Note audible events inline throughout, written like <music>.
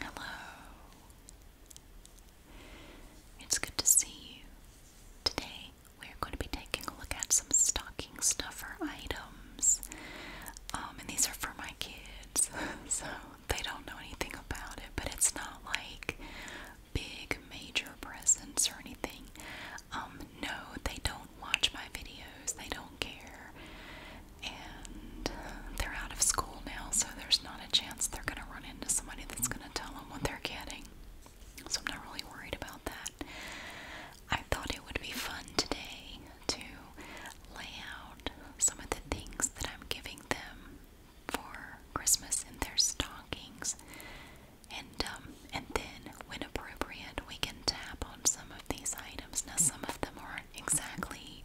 Hello. It's good to see you. Today we're going to be taking a look at some stocking stuffer items. Um, and these are for my kids, <laughs> so they don't know anything about it, but it's not like big major presents or anything. Um, no, they don't watch my videos, they don't care. And they're out of school now, so there's not a chance they're going to run into somebody that's going to tell them what they're getting. So I'm not really worried about that. I thought it would be fun today to lay out some of the things that I'm giving them for Christmas in their stockings. And um, and then, when appropriate, we can tap on some of these items. Now, some of them aren't exactly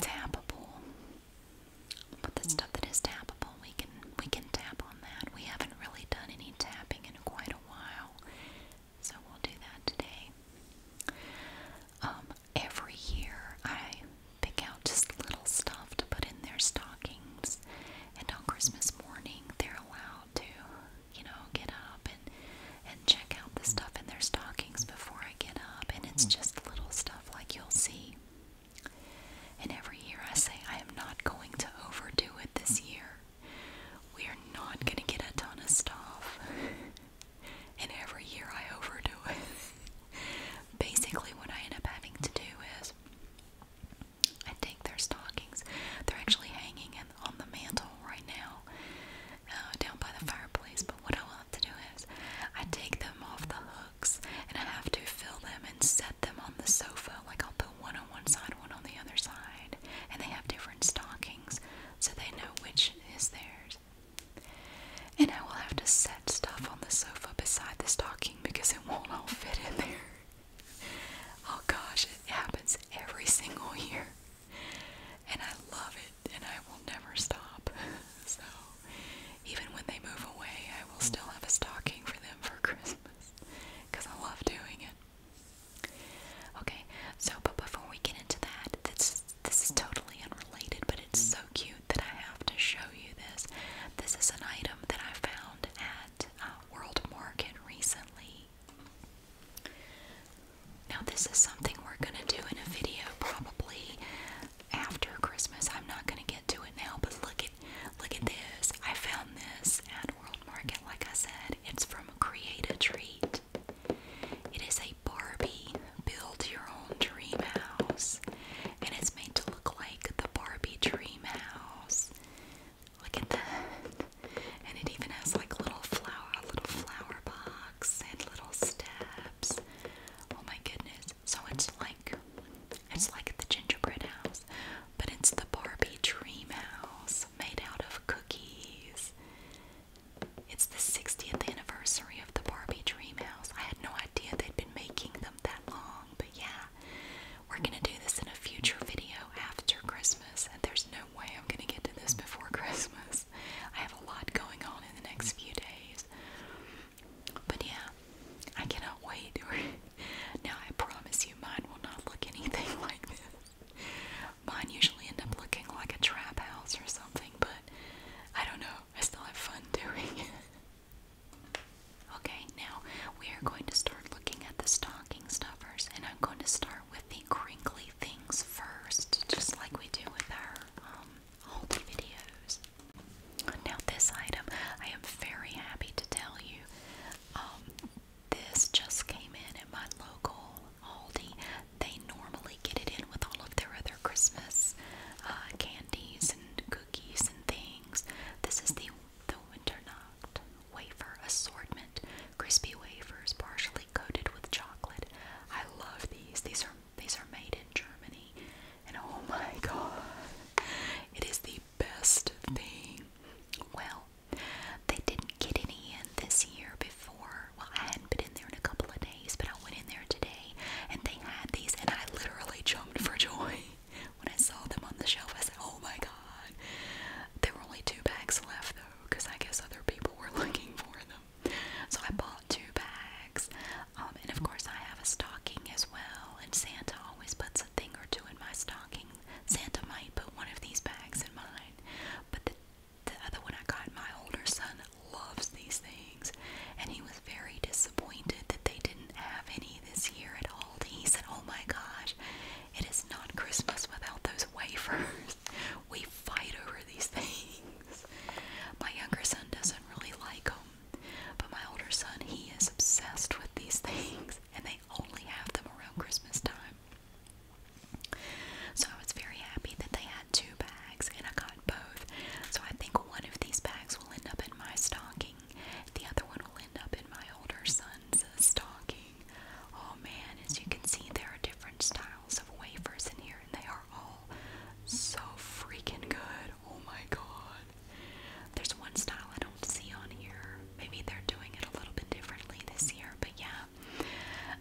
tappable, but the stuff that is tappable, we can we can tap on that. We haven't really done any tapping in quite a while, so we'll do that today. Um, every year, I pick out just little stuff to put in their stockings, and on Christmas morning, they're allowed to, you know, get up and and check out the hmm. stuff in their stockings before I get up, and it's hmm. just little stuff like you'll see. And every year I say I am not going to overdo it this hmm. year. We are not going to get a ton of stuff. <laughs> and every year I overdo it. <laughs> Basically, what I end up having to do is I take their stockings. They're actually hanging on the mantle right now, uh, down by the fireplace. But what I love to do is I take them off the hooks and I have to fill them and set them on the sofa. Like I'll put one on one side, one on the other side, and they have different stockings so they know which is theirs. And I will have to set stuff on the sofa beside the stocking because it won't all fit in there oh gosh, it happens every single year. And I love it, and I will never stop. <laughs> so, even when they move away, I will still have a stocking for them for Christmas because I love doing it. Okay, so but before we get into that, this this is totally unrelated, but it's so cute that I have to show you this. This is an item that I found at uh, World Market recently, now, this is something we're going to do in a video probably after Christmas. I'm not going to get to it now, but look at look at this. I found this at World Market like I said. It's from Create a Treat. It is a Barbie build your own dream house and it's made to look like the Barbie dream house. Look at that. And it even has like little flower, a little flower box and little steps. Oh my goodness. So it's like it's like the gingerbread house, but it's the Barbie dream house made out of cookies. It's the 60th anniversary of the Barbie dream house. I had no idea they'd been making them that long, but yeah. We're going to do this in a future video after Christmas, and there's no way I'm going to get to this before <laughs> Christmas. I have a lot going on in the next few days. But yeah, I cannot wait. <laughs> now, I promise you, mine will not look anything <laughs> like this. Mine usually end up looking like a trap house or something, but I don't know. I still have fun doing it. Okay, now we are going to start looking at the stocking stuffers, and I'm going to start with the crinkly things first, just like we do with our um, haul videos. Now, this item, I am very happy to tell you, um, this just came in at my local Aldi. They normally get it in with all of their other Christmas uh, candies and cookies and things. This is the the winter Wafer assortment. Crispy wafers partially coated with chocolate. I love these. These are these are made in Germany. And oh my <laughs> god. It is the best thing. Well, they didn't get any in this year before. Well, I hadn't been in there in a couple of days, but I went in there today and they had these and I literally jumped for joy. <laughs> when I saw them on the shelf, I said, oh my god. There were only two bags left though, because I guess other people were <laughs> looking for them. So I bought two bags. Um, and of course, I have a stocking as well. And Santa always puts a thing or two in my stocking. Santa might put one of these bags in mine. But the, the other one I got, my older son loves these things. And he was very disappointed that they didn't have any this year at all. He said, Oh my gosh, it is not Christmas without those wafers. <laughs> We fight over these things. My younger son doesn't really like them, but my older son, he is obsessed with these things, and they only have them around Christmas time. So I was very happy that they had two bags, and I got both. So I think one of these bags will end up in my stocking, the other one will end up in my older son's uh, stocking. Oh man, as you can see, there are different styles of wafers in here, and they are all so freaking good. Oh my god. There's one style I don't see on here. Maybe they're doing it a little bit differently this year, but yeah.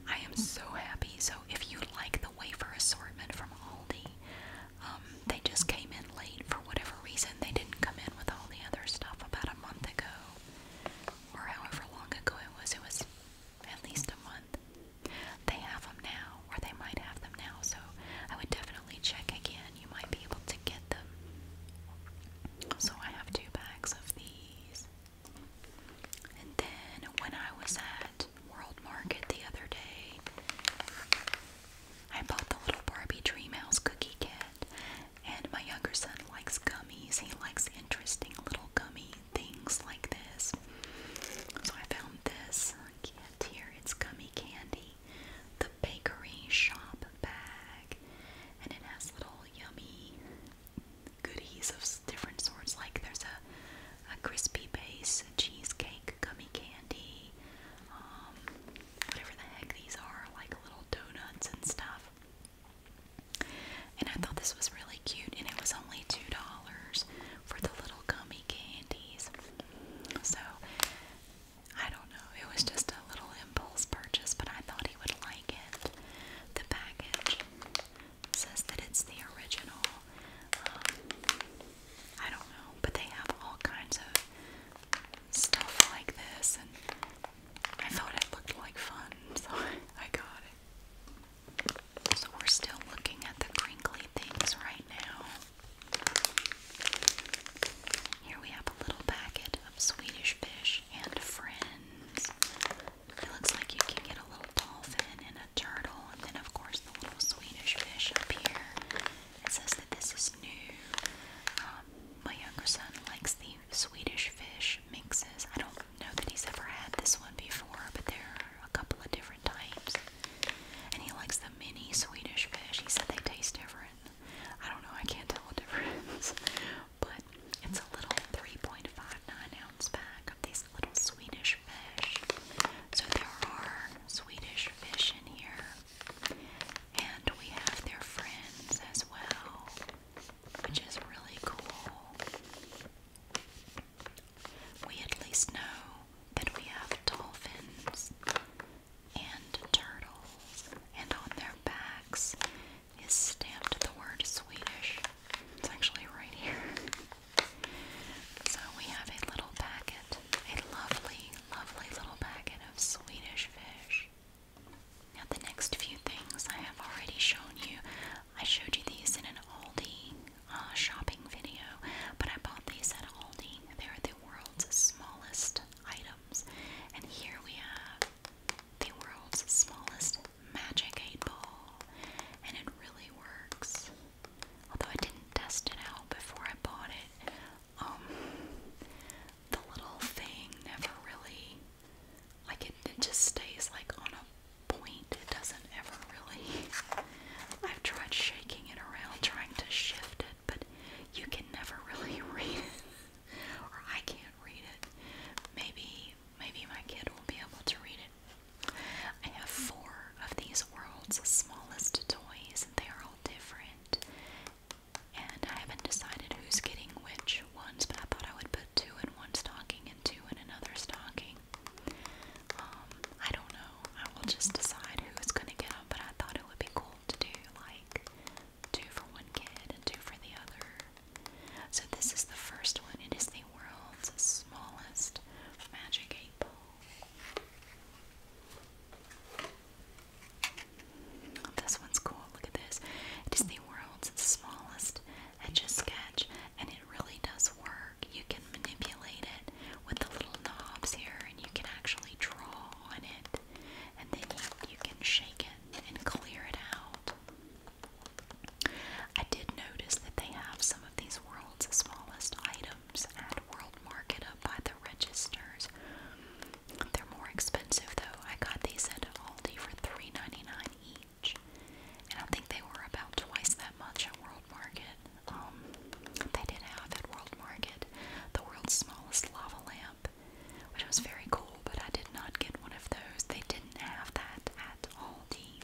I am so happy. So, if you like the wafer assortment from Aldi, um, they just came in late for whatever reason. They didn't come in with all the other stuff about a month ago or however long ago it was. It was at least a month. They have them now, or they might have them now, so I would definitely check again. You might be able to get them. So I have two bags of these. And then when I was at World Market the other day, I bought the little Barbie Dreamhouse cookie kit. And my younger son likes gummies. He likes interesting little gummy things like this. So I found this kit here. It's gummy candy, the bakery shop bag, and it has little yummy goodies of different sorts. Like there's a, a crispy base cheesecake, gummy candy, um, whatever the heck these are, like little donuts and stuff. And I thought this was really cute, and it was only $2 for the little gummy candies. So, I don't know, it was just a little impulse purchase, but I thought he would like it. The package says that it's the original. Um, I don't know, but they have all kinds of stuff like this and I thought it looked like fun, so <laughs> I got it. So we're still looking at the crinkly things right now. Here we have a little packet of Swedish fish and friends. looks like you can get a little dolphin and a turtle, and then, of course, the little Swedish fish up here. It says that this is new. Um, my younger son likes the Swedish fish mixes. I don't know that he's ever had this one before, but there are a couple of different types. And he likes the mini Swedish fish. He said they taste different. I don't know, I can't tell the <laughs> difference. But it's a little 3.59 ounce pack of these little Swedish fish. So there are Swedish fish in here. And we have their friends as well, which is really cool. We at least know that we have dolphins and turtles, and on their backs is stamped the word Swedish. It's actually right here. So we have a little packet, a lovely, lovely little packet of Swedish fish. Now, the next few things I have already shown you. I showed you these in an Aldi uh, shopping video, but I bought these at Aldi. They're the world's smallest items. And here we have the world's smallest magic 8 ball. And it really works. Although I didn't test it out before I bought it, um, the little thing never really, like it, it just stays like on a point. It doesn't ever really. <laughs> I've tried shaking it around, trying to shift it, but you can never really <laughs> read it, or I can't read it. Maybe, maybe my kid will be able to read it. I have four of these world's smallest toys, and they are all different. And I haven't decided who's getting which ones, but I thought I would put two in one stocking and two in another stocking. Um, I don't know. I will just decide who's gonna get them, but I thought it would be cool to do like two for one kid and two for the other. So this is the first one. It is the world's smallest magic eight Oh, this one's cool. Look at this. Disney World's smallest etch sketch, and it really does work. You can manipulate it with the little knobs here, and you can actually draw on it, and then you can shake it and clear it out. I did notice that they have some of these world's smallest items at World Market up by the registers. They're more expensive though. I got these at Aldi for $3.99 each. And I think they were about twice that much at World Market. Um, they did have at World Market the world's smallest lava lamp, which was very cool, but I did not get one of those. They didn't have that at Aldi.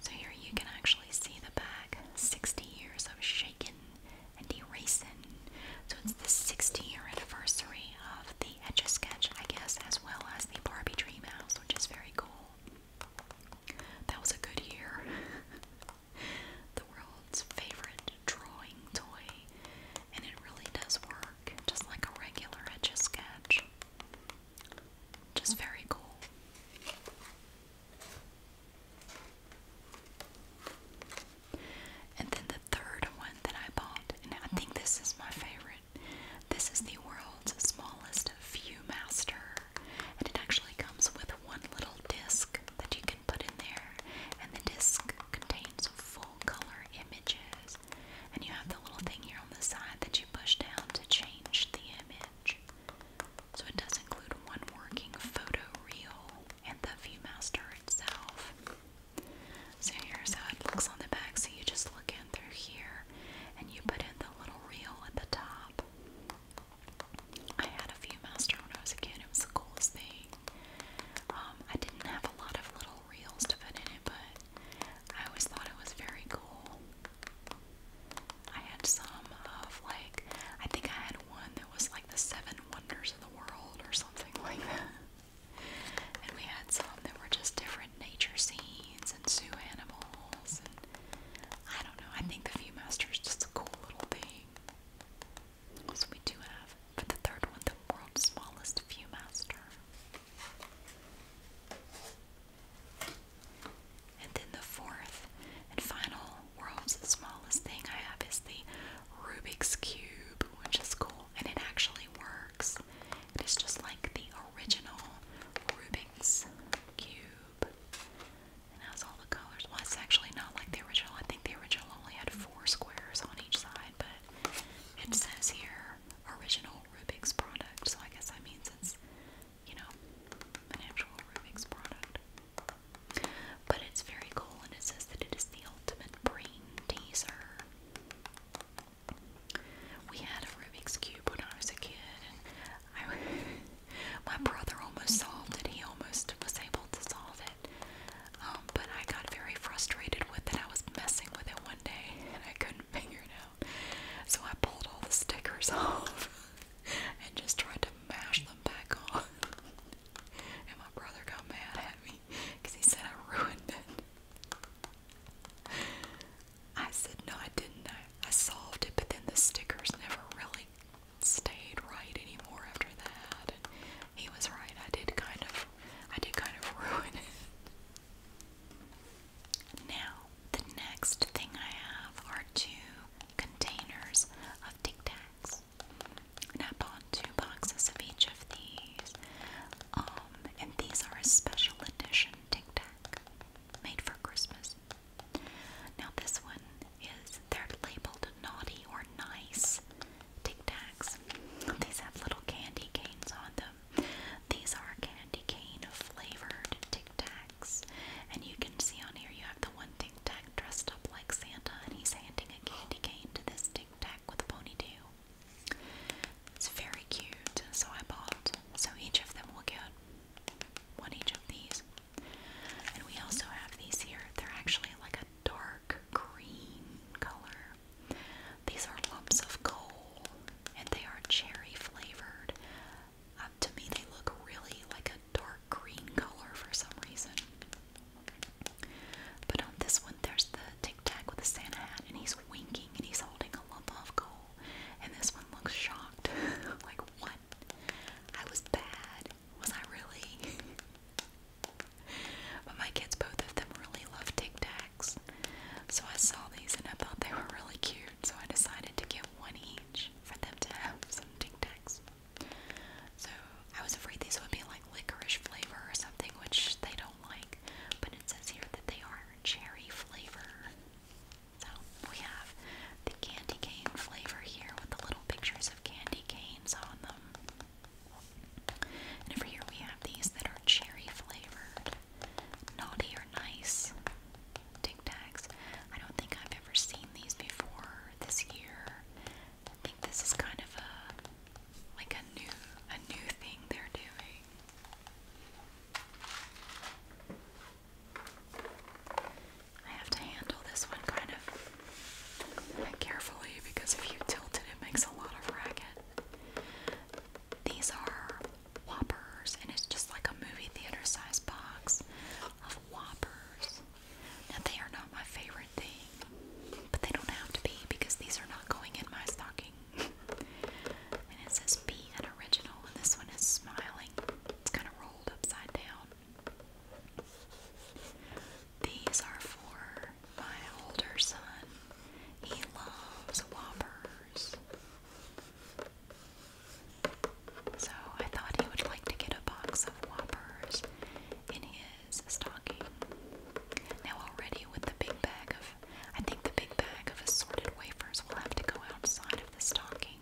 So here you can actually see the back 60 years of shaking and Erasing. So it's the 60 year anniversary of the Etch a Sketch, I guess, as well as the Barbie Dream House, which is very cool. That was a good year. <laughs> the world's favorite drawing toy, and it really does work just like a regular Etch a Sketch. Just very cool. And then the third one that I bought, and I think this is my favorite. This is the world's smallest ViewMaster, and it actually comes with one little disc that you can put in there, and the disc contains full color images. And you have the little thing here on the side that you push down to change the image. So it does include one working photo reel, and the ViewMaster itself. So here's how it looks on the back. So you just look in through here and you put in the little reel at the top. I had a ViewMaster when I was a kid. It was the coolest thing. Um, I didn't have a lot of little reels to put in it, but I always thought it was very cool. I had some of like I think I had one that was like the Seven Wonders of the world or something <laughs> like that. And we had some that were just different nature scenes and zoo animals I don't know, I think the Viewmaster is just a cool little thing. So we do have, but the third one, the world's smallest Viewmaster. And then the fourth and final world's smallest thing I have is the Rubik's Cube, which is cool and it actually works. It is just like the original Rubik's Cube. And has all the colors. Well, it's actually not like the original. I think the original only had four squares on each side, but it says here original Rubik's product, so I guess that means it's, you know, an actual Rubik's product. But it's very cool and it says that it is the ultimate brain teaser. We had a Rubik's Cube when I was a kid and <laughs> my brother almost solved it. He almost was able to solve it. Um, but I got very frustrated with it. I was messing with it one day and I couldn't <laughs> figure it out. So I pulled all the stickers <laughs> off and just tried to mash them back on. <laughs> And my brother got mad at me because he said I ruined it. I said, no, I didn't. I, I solved it, but then the stickers never really stayed right anymore after that. And he was right. I did kind of, I did kind of <laughs> ruin it. Now, the next thing I have are two containers of Tic Tacs. And I bought two boxes of each of these. Um, and these are a special edition Tic Tac made for Christmas. Now, this one is, they're labeled naughty or nice Tic Tacs. These have little candy canes on them. These are candy cane flavored Tic Tacs. And you can see on here you have the one thing. Tic Tac dressed up like Santa and he's handing a candy cane to this Tic Tac with a ponytail. It's very cute, so I bought. So each of them will get one each of these. And we also have these here. They're actually like a dark green color. These are lumps of coal and they are cherry flavored. Uh, to me, they look really like a dark green color for some reason. But on this one, there's the tic tac with the Santa hat, and he's winking and he's holding a lump of coal. And this one looks shocked. <laughs> like, what? I was bad. Was I really? <laughs> but my kids, both of them, really love tic tacs. So I saw these and I thought they were really cute. So I decided to get one each for them to have some tic tacs. So I was afraid these would be like licorice flavor or something, which they don't like. But it says here that they are cherry flavor. So we have the candy cane flavor here with the little pictures of candy canes on them. And over here we have these that are cherry flavored. Naughty or nice tic tacs. I don't think I've ever seen these before this year. I think this is kind of a like a new a new thing they're doing. I have to handle this one kind of carefully because if you tilt it, it makes a lot of racket. These are Whoppers, and it's just like a movie theater size box of Whoppers. Now, they are not my favorite thing, but they don't have to be because these are not going in my stocking. and it says be an original, and this one is smiling. It's kind of rolled upside down. These are for my older son. He loves Whoppers. So I thought he would like to get a box of Whoppers in is stocking. Now already with the big bag of, I think the big bag of assorted wafers will have to go outside of the stocking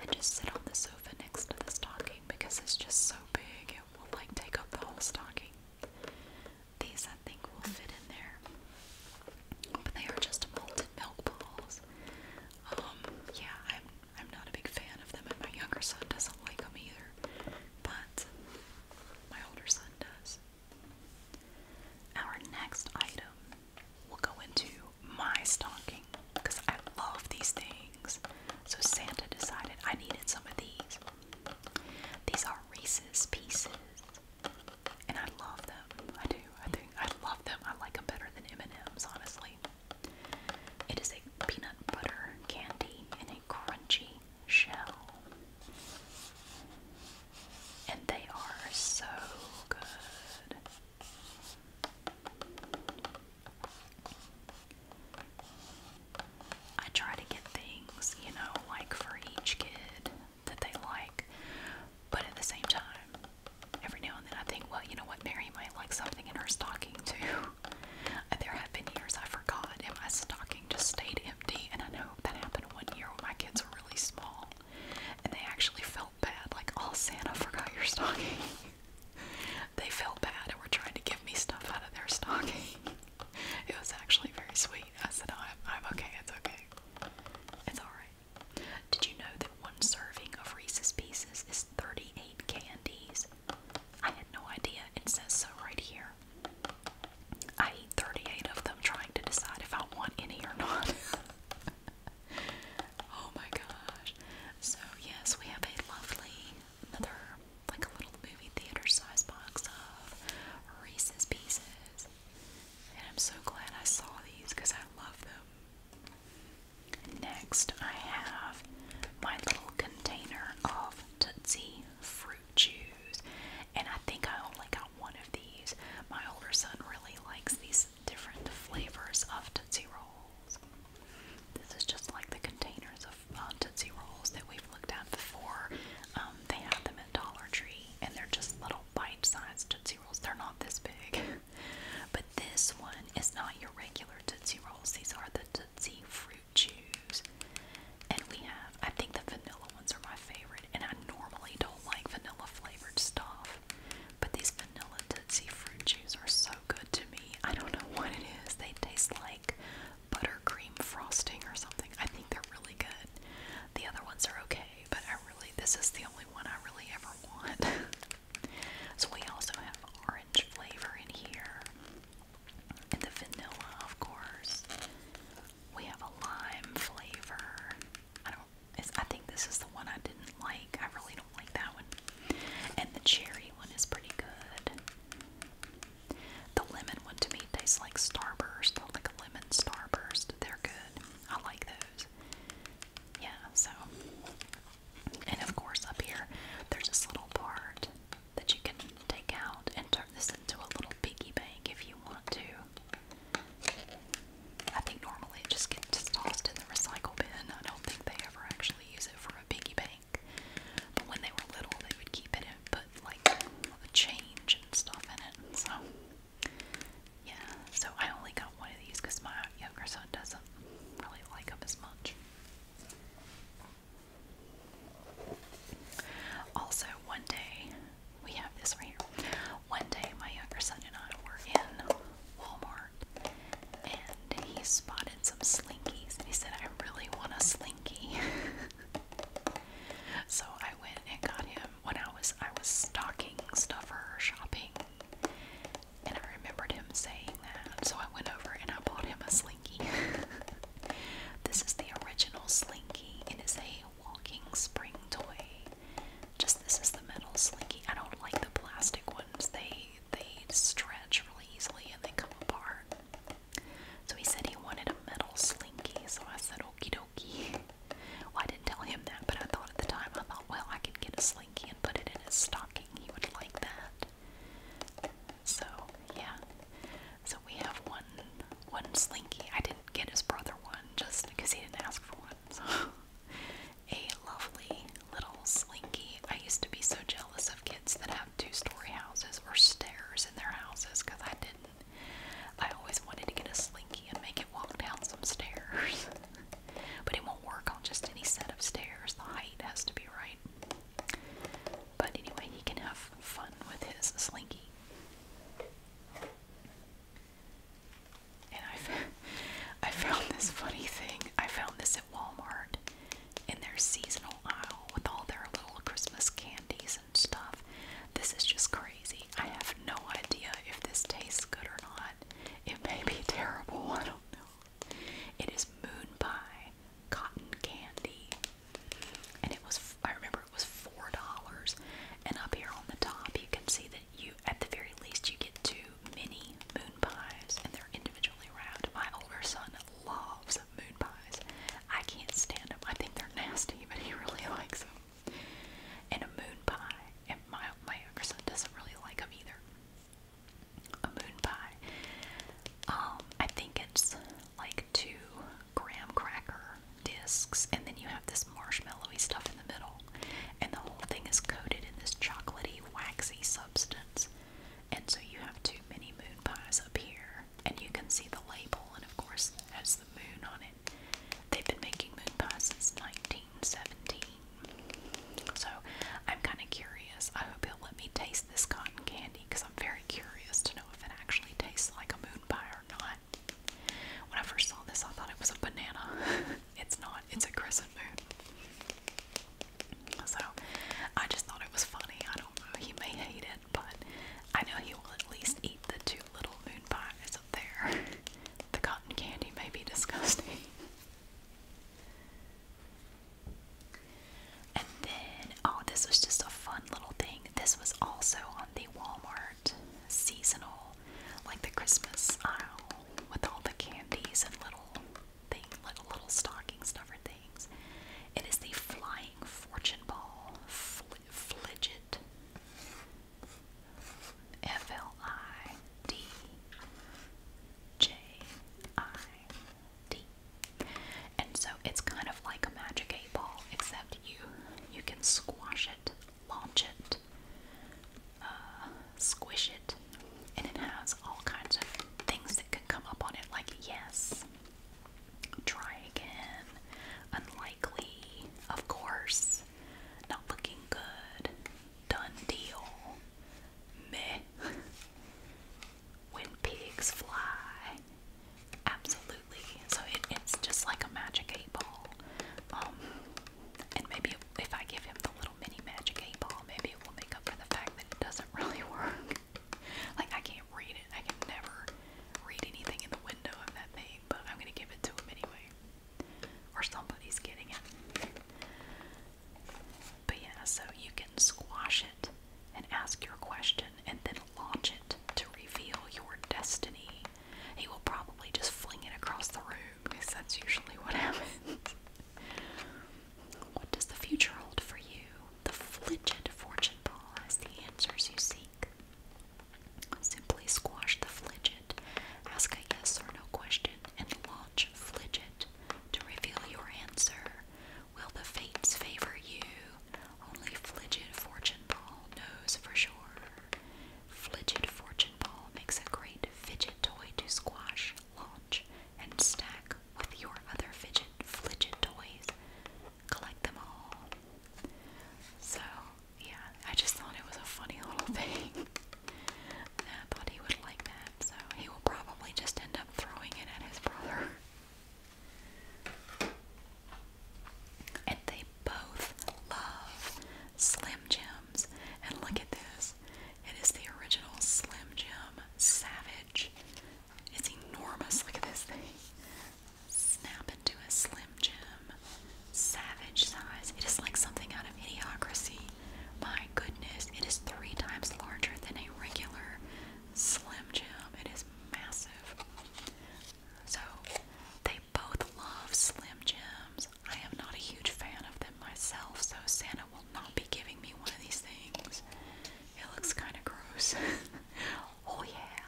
and just sit on the sofa next to the stocking because it's just so big it will like take up the whole stocking. These I think will fit in there, but they are just molten milk balls. Um, yeah, I'm I'm not a big fan of them, and my younger son doesn't like them either, but my older son does. Our next item will go into my stocking because I love these things. So Santa decided I needed some of these. These are Reese's Pieces, and I love them. I do. I think I love them. I like them better than M&M's, honestly. It is a peanut butter candy in a crunchy shell. And they are so good. I try to get things, you know, like for each kid that they like, but at the same time, every now and then I think, well, you know what, Mary might like something in her stocking too. There have been years I forgot, and my stocking just stayed empty. And I know that happened one year when my kids were really small, and they actually felt bad, like, "Oh, Santa <laughs> forgot your stocking." they felt bad and were trying to give me stuff out of their stocking. <laughs> it was actually very sweet. I said, oh, I'm, "I'm okay. It's okay. It's all right." Did you know that one serving of Reese's Pieces is 38 candies? I had no idea. It says so right here. I eat 38 of them trying to decide if I want any or not. <laughs> oh my gosh. So, yes, we have a lovely, another, like a little movie theater size box of Reese's Pieces. And I'm so glad I saw these because I love them. Next, I have my little container of Tootsie fruit chews, and I think I only got one of these. My older son really likes these different flavors of Tootsie Rolls. This is just like the containers of uh, Tootsie Rolls that we've looked at before. Um, they have them at Dollar Tree, and they're just little bite-sized Tootsie Rolls. They're not this big, <laughs> but this one is not your regular Tootsie Rolls. These are the Tootsie fruit chews. And we have, I think the vanilla ones are my favorite, and I normally don't like vanilla flavored stuff. But these vanilla Tootsie fruit chews are so good to me. I don't know what it is. They taste like buttercream frosting or something. I think they're really good. The other ones are okay, but I really, this is the only one I really ever want. <laughs> so we also have orange flavor in here. And the vanilla, of course. We have a lime flavor. I don't it's, I think this is the one I didn't like. I really don't like that one. And the cherry one is pretty good. The lemon one to me tastes like Starburst, like a lemon Starburst. They're good. I like those. Yeah, so and of course, up here, there's this little part that you can take out and turn this into a little piggy bank if you want to. I think normally it just gets tossed in the recycle bin. I don't think they ever actually use it for a piggy bank. But when they were little, they would keep it and put like a change and stuff in it. So, yeah. So I only got one of these because my younger son doesn't really like them as much. Also, one day, we have this right here. One day, my younger son and I were in Walmart and he spotted some slinkies and he said, I really want a slinky. <laughs> so I went and got him when I was I was stocking stuffer shopping and I remembered him saying that, so I went over and I bought him a slinky. <laughs> this is the original slinky. It is a walking spring toy. Just this is the metal slinky. I don't like the plastic ones. They they stretch really easily and they come apart. So he said he wanted a metal slinky, so I said okie dokie. <laughs> Well, I didn't tell him that, but I thought at the time, I thought, well, I could get a slinky and put it in his stocking. He would like that. So yeah, so we have one one slinky. I didn't get his brother one just because he didn't ask for one. <laughs> a lovely little slinky. I used to be so jealous of kids that have two-story houses or stairs in their houses because I didn't. I always wanted to get a slinky and make it walk down some stairs. <laughs> but it won't work on just any set of stairs. The height has to be right. But anyway, he can have fun with his slinky. And I, <laughs> I found this funny thing. I found this at Walmart in their seasonal aisle with all their little Christmas candies and stuff. This is just crazy. I have no idea if this tastes good or not. It may be <laughs> terrible. I don't know. It is moon pie cotton candy, and it was I remember it was four dollars. And up here on the top, you can see that you at the very least you get two mini moon pies, and they're individually wrapped. My older son loves moon pies. I can't stand them. I think they're nasty, but he really <laughs> likes them. And a moon pie, and my my younger son doesn't really like them either a moon pie. Um, I think it's like two graham cracker discs, and then you have this marshmallowy stuff in the middle, and the whole thing is coated in this chocolatey, waxy substance. And so you have two mini moon pies up here, and you can see the label, and of course, it has the moon on it. They've been making moon pies since 1917. So I'm kind of curious. I hope he'll let me taste this cotton candy because I'm very curious to know if it actually tastes like a moon pie or not. When I first saw this, I thought it was a banana. <laughs> it's not, it's a crescent moon. So I just thought it was funny. I don't he may hate it, but I know he will at least eat the two little moon pies up there. <laughs> the cotton candy may be disgusting. <laughs> And then, oh, this was just a fun little thing. This was also on the Walmart seasonal, like the Christmas aisle with all the candies and little thing, little, little stocking stuffer things. It is the Flying Fortune Ball flidget. F L I D J I D. And so it's kind of like a magic eight ball, except you you can squash it, launch it, uh, squish it, and it has all kinds of things that can come up on it, like yes, try again, unlikely, of course, not looking good, done deal, meh. when pigs fly, absolutely. So it's just like a magic eight ball. Um, and maybe if I give him the little mini magic eight ball, maybe it will make up for the fact that it doesn't really <laughs> work. like I can't read it. I can never read anything in the window of that thing, but I'm gonna give it to him anyway. Or somebody's getting it. But yeah, so you can squash it and ask your question and then launch it to reveal your destiny. He will probably just fling it across the room because that's usually what <laughs> happens. what does the future hold for you? The fligid fortune ball has the answers you seek. Simply squash the fligid, ask a yes or no question, and launch fligid to reveal your answer. Will the fates favor you? Only Fligid Fortune Ball knows for sure. Fligid Fortune Ball makes a great fidget toy to squash, launch, and stack with your other fidget fidget toys. Collect them all. So, yeah, I just thought it was a funny <laughs> little thing. I thought he would like that so he will probably just end up throwing it at his brother. <laughs> And they both love Slim Jims. And look at this. It is the original Slim Jim Savage. It's enormous. Look at this thing. Snap into a Slim Jim Savage size. It is like something out amount My goodness, it is three times larger than a regular Slim Jim. It is massive. So, they both love Slim Jims. I am not a huge fan of them myself, so Santa will not be giving me one of these things. It looks kind of gross. <laughs> oh, yeah.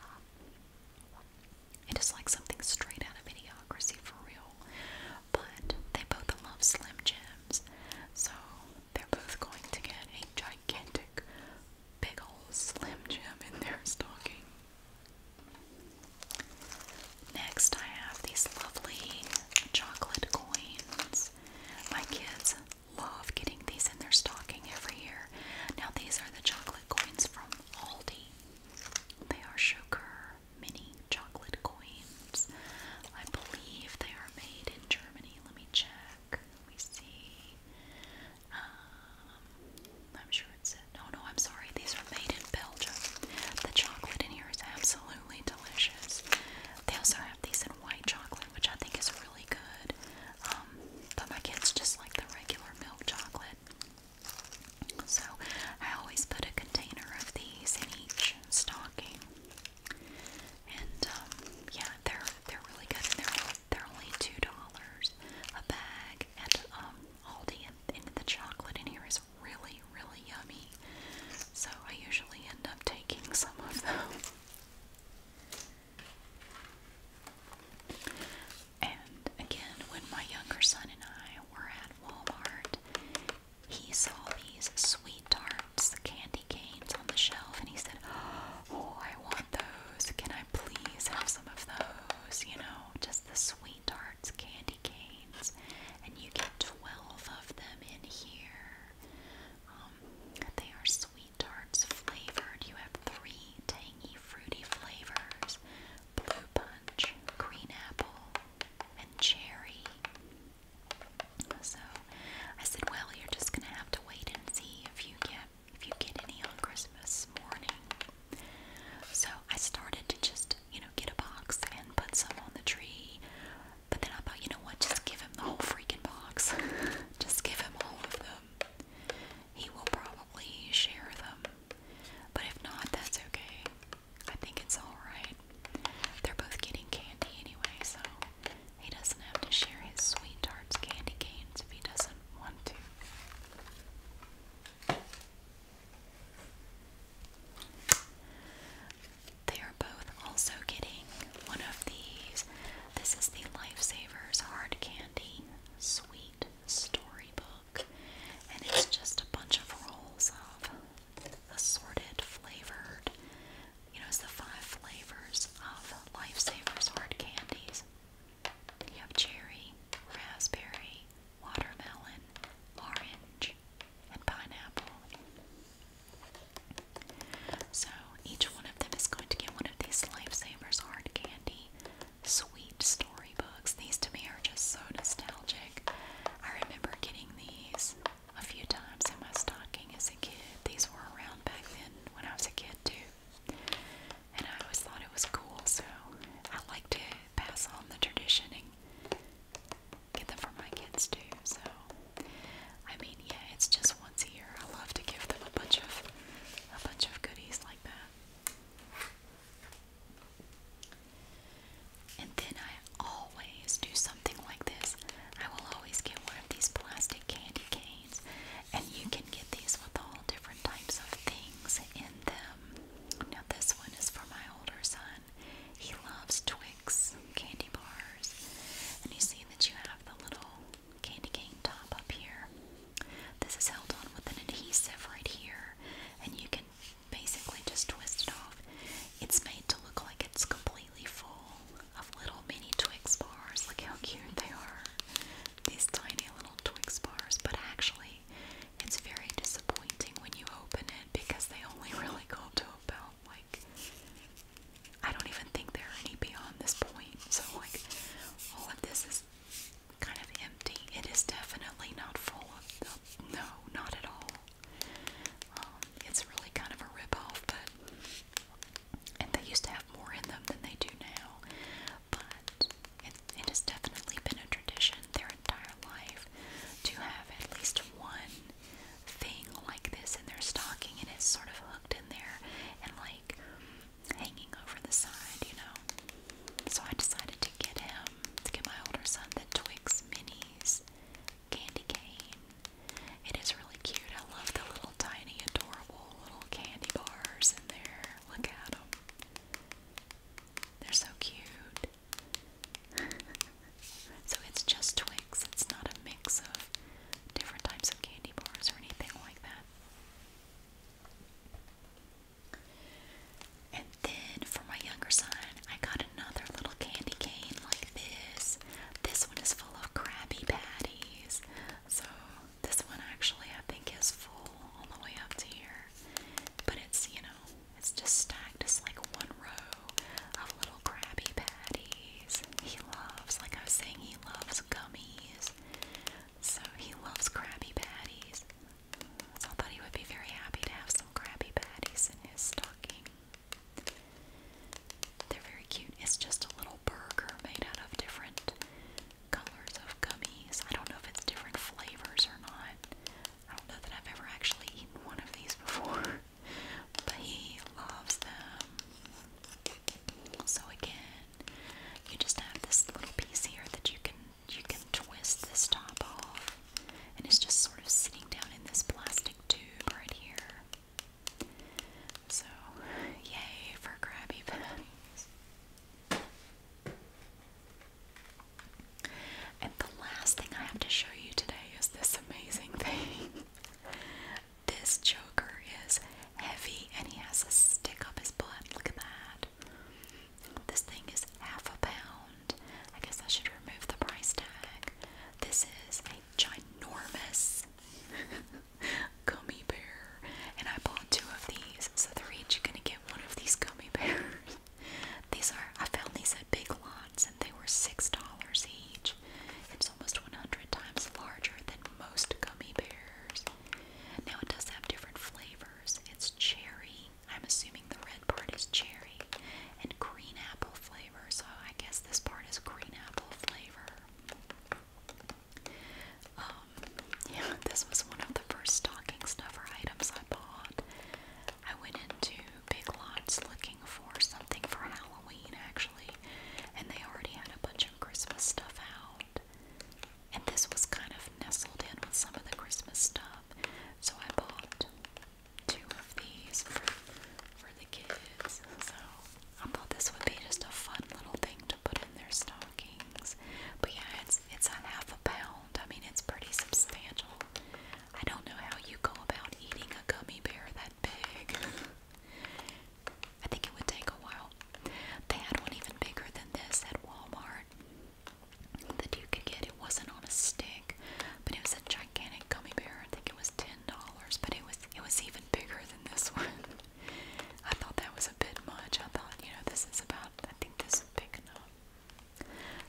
It is like something straight out of idiocracy for real. But they both love Slim Jims, so they're both going to get a gigantic, big old Slim Jim in their stocking. Next, I have these lovely chocolate coins. My kids love getting these in their stocking every year. Now, these are the chocolate coins from Aldi. They are sugar mini chocolate coins. I believe they are made in Germany. Let me check. Let me see. Um, I'm sure it's it. No, no, I'm sorry. These are made in Belgium. The chocolate in here is absolutely delicious. They also have these in white chocolate, which I think is really good. Um, but my kids just like the regular milk chocolate. So I always put a container of these in each stocking. And um, yeah, they're they're really good. And they're they're only two dollars a bag at um, Aldi, and, and the chocolate in here is really really yummy. So I usually end up taking some of those. And again, when my younger son and I were at Walmart, he saw these sweet tarts, candy canes on the shelf, and he said, Oh, I want those. Can I please have some of those? You know, just the sweet tarts, candy canes. And you get 12 of them in here. Um, they are sweet tarts flavored. You have three tangy, fruity flavors blue punch, green apple, and cherry. So I said, well, you're just gonna have to wait and see if you get if you get any on Christmas morning. So I started to just, you know, get a box and put some on the tree. But then I thought, you know what, just give him the whole freaking box. <laughs> just give him all of them. He will probably share them. But if not, that's okay. I think it's alright. They're both getting candy anyway, so he doesn't have to share his sweet tarts candy canes if he doesn't want to. They are both also getting one of these. This is the Lifesavers Hard Candy Sweet Storybook, and it's just a bunch of rolls of assorted flavored. You know, it's the five flavors of Lifesavers hard candies. You have cherry, raspberry, watermelon, orange, and pineapple. So each one of them is going to get one of these Lifesavers hard candy sweet storybooks. These to me are just so nostalgic. I remember getting these a few times in my stocking as a kid. These were around back then when I was a kid too. And I always thought it was cool, so I like to pass on the tradition and get them for my kids too. So, I mean, yeah, it's just once a year. I love to give them a bunch of a bunch of goodies like that. And then I always do something like this. I will always get one of these plastic candy canes, and you can get these with all different types of things in them. Now, this one is for my older son. He loves Twix candy bars, and you see that you have the little candy cane top up here. This is held on with an adhesive right here, and you can basically just twisted off. It's made to look like it's completely full of little mini Twix bars. Look how cute they are. These tiny little Twix bars, but actually, it's very disappointing when you open it because they only <laughs> really go up to about like I don't even think there are any beyond this point. So like all of this is kind of empty. It is definitely not full of the, no, not at all. Um, it's really kind of a ripoff, but and they used to have more in them than they do now. But it, it has definitely been a tradition their entire life to have at least one thing like this in their stocking, and it's sort of hooked in there and like hanging over the side, you know. So I decided to get him to get my older son the Twix minis candy cane. It is really cute. I love the little tiny, adorable little candy bars in there. Look at them. They're so cute. <laughs> so it's just Twix. It's not a mix of different types of candy bars or anything like that. And then for my younger son, I got another little candy cane like this. This one is full of Krabby Patties. So this one actually I think is full all the way up to here. But it's, you know, it's just stacked. It's like one row of little Krabby Patties. He loves, like I was saying, he loves gummies. So he loves Krabby Patties. So I thought he would be very happy to have some Krabby Patties in his stocking. They're very cute. It's just a little burger made out of different colors of gummies. I don't know if it's different flavors or not. I don't know that I've ever actually eaten one of these before. <laughs> But he loves them. So again, you just have this little piece here that you can you can twist this top off and it's just sort of sitting down in this plastic tube right here. So, yay for Krabby Patties. And the last thing I have to show you today is this amazing <laughs> thing. this Joker is heavy and he has a stick up his butt. Look at that. This thing is half a pound. I guess I should remove the price tag. This is a ginormous <laughs> gummy bear, and I bought two of these, so they're each gonna get one of these gummy <laughs> bears. these are I found these at Big Lots, and they were six dollars each. It's almost 100 times larger than most gummy bears. Now it does have different flavors. It's cherry, I'm assuming the red part is cherry and green apple flavor, so I guess this part is green apple flavor. Um, yeah, <laughs> this was one of the first stocking stuffer items I bought. I went into Big Lots looking for something for Halloween, actually, and they already had a bunch of Christmas stuff out. And this was kind of nestled in with some of the Christmas stuff, so I bought two of these for, for the kids. So I thought this would be just a fun little thing to put in their stockings. But yeah, it's it's on half a pound. I mean, it's pretty substantial. I don't know how you go about eating a gummy bear that big. <laughs> I think it would take a while. They had one even bigger than this at Walmart that you could get. It wasn't on a stick, but it was a gigantic gummy bear. I think it was ten dollars, but it was it was even bigger than this <laughs> one. I thought that was a bit much. I thought, you know, this is about I think this is big enough.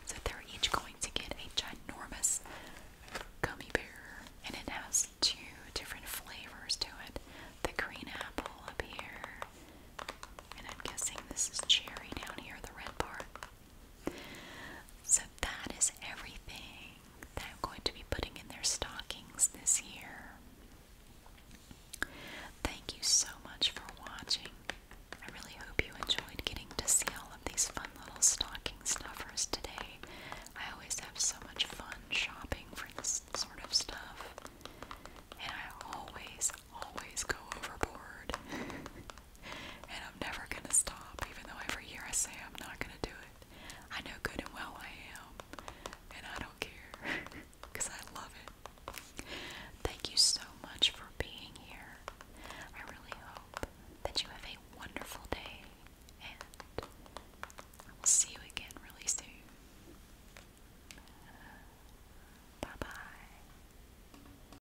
So they're each going to get a ginormous gummy bear and it has two different flavors to it. The green apple up here. And I'm guessing this is cherry down here, the red part. So that is everything that I'm going to be putting in their stockings this year. Thank you so much for watching. I really hope you enjoyed getting to see all of these fun little stocking stuffers today. I always have so much fun shopping for this sort of stuff. And I always, always go overboard. <laughs> and I'm never gonna stop, even though every year I say I'm not gonna do it. I know good and well I am, and I don't care <laughs> I love it. Thank you so much for being here. I really hope that you have a wonderful day, and I will see you again really soon. Bye bye.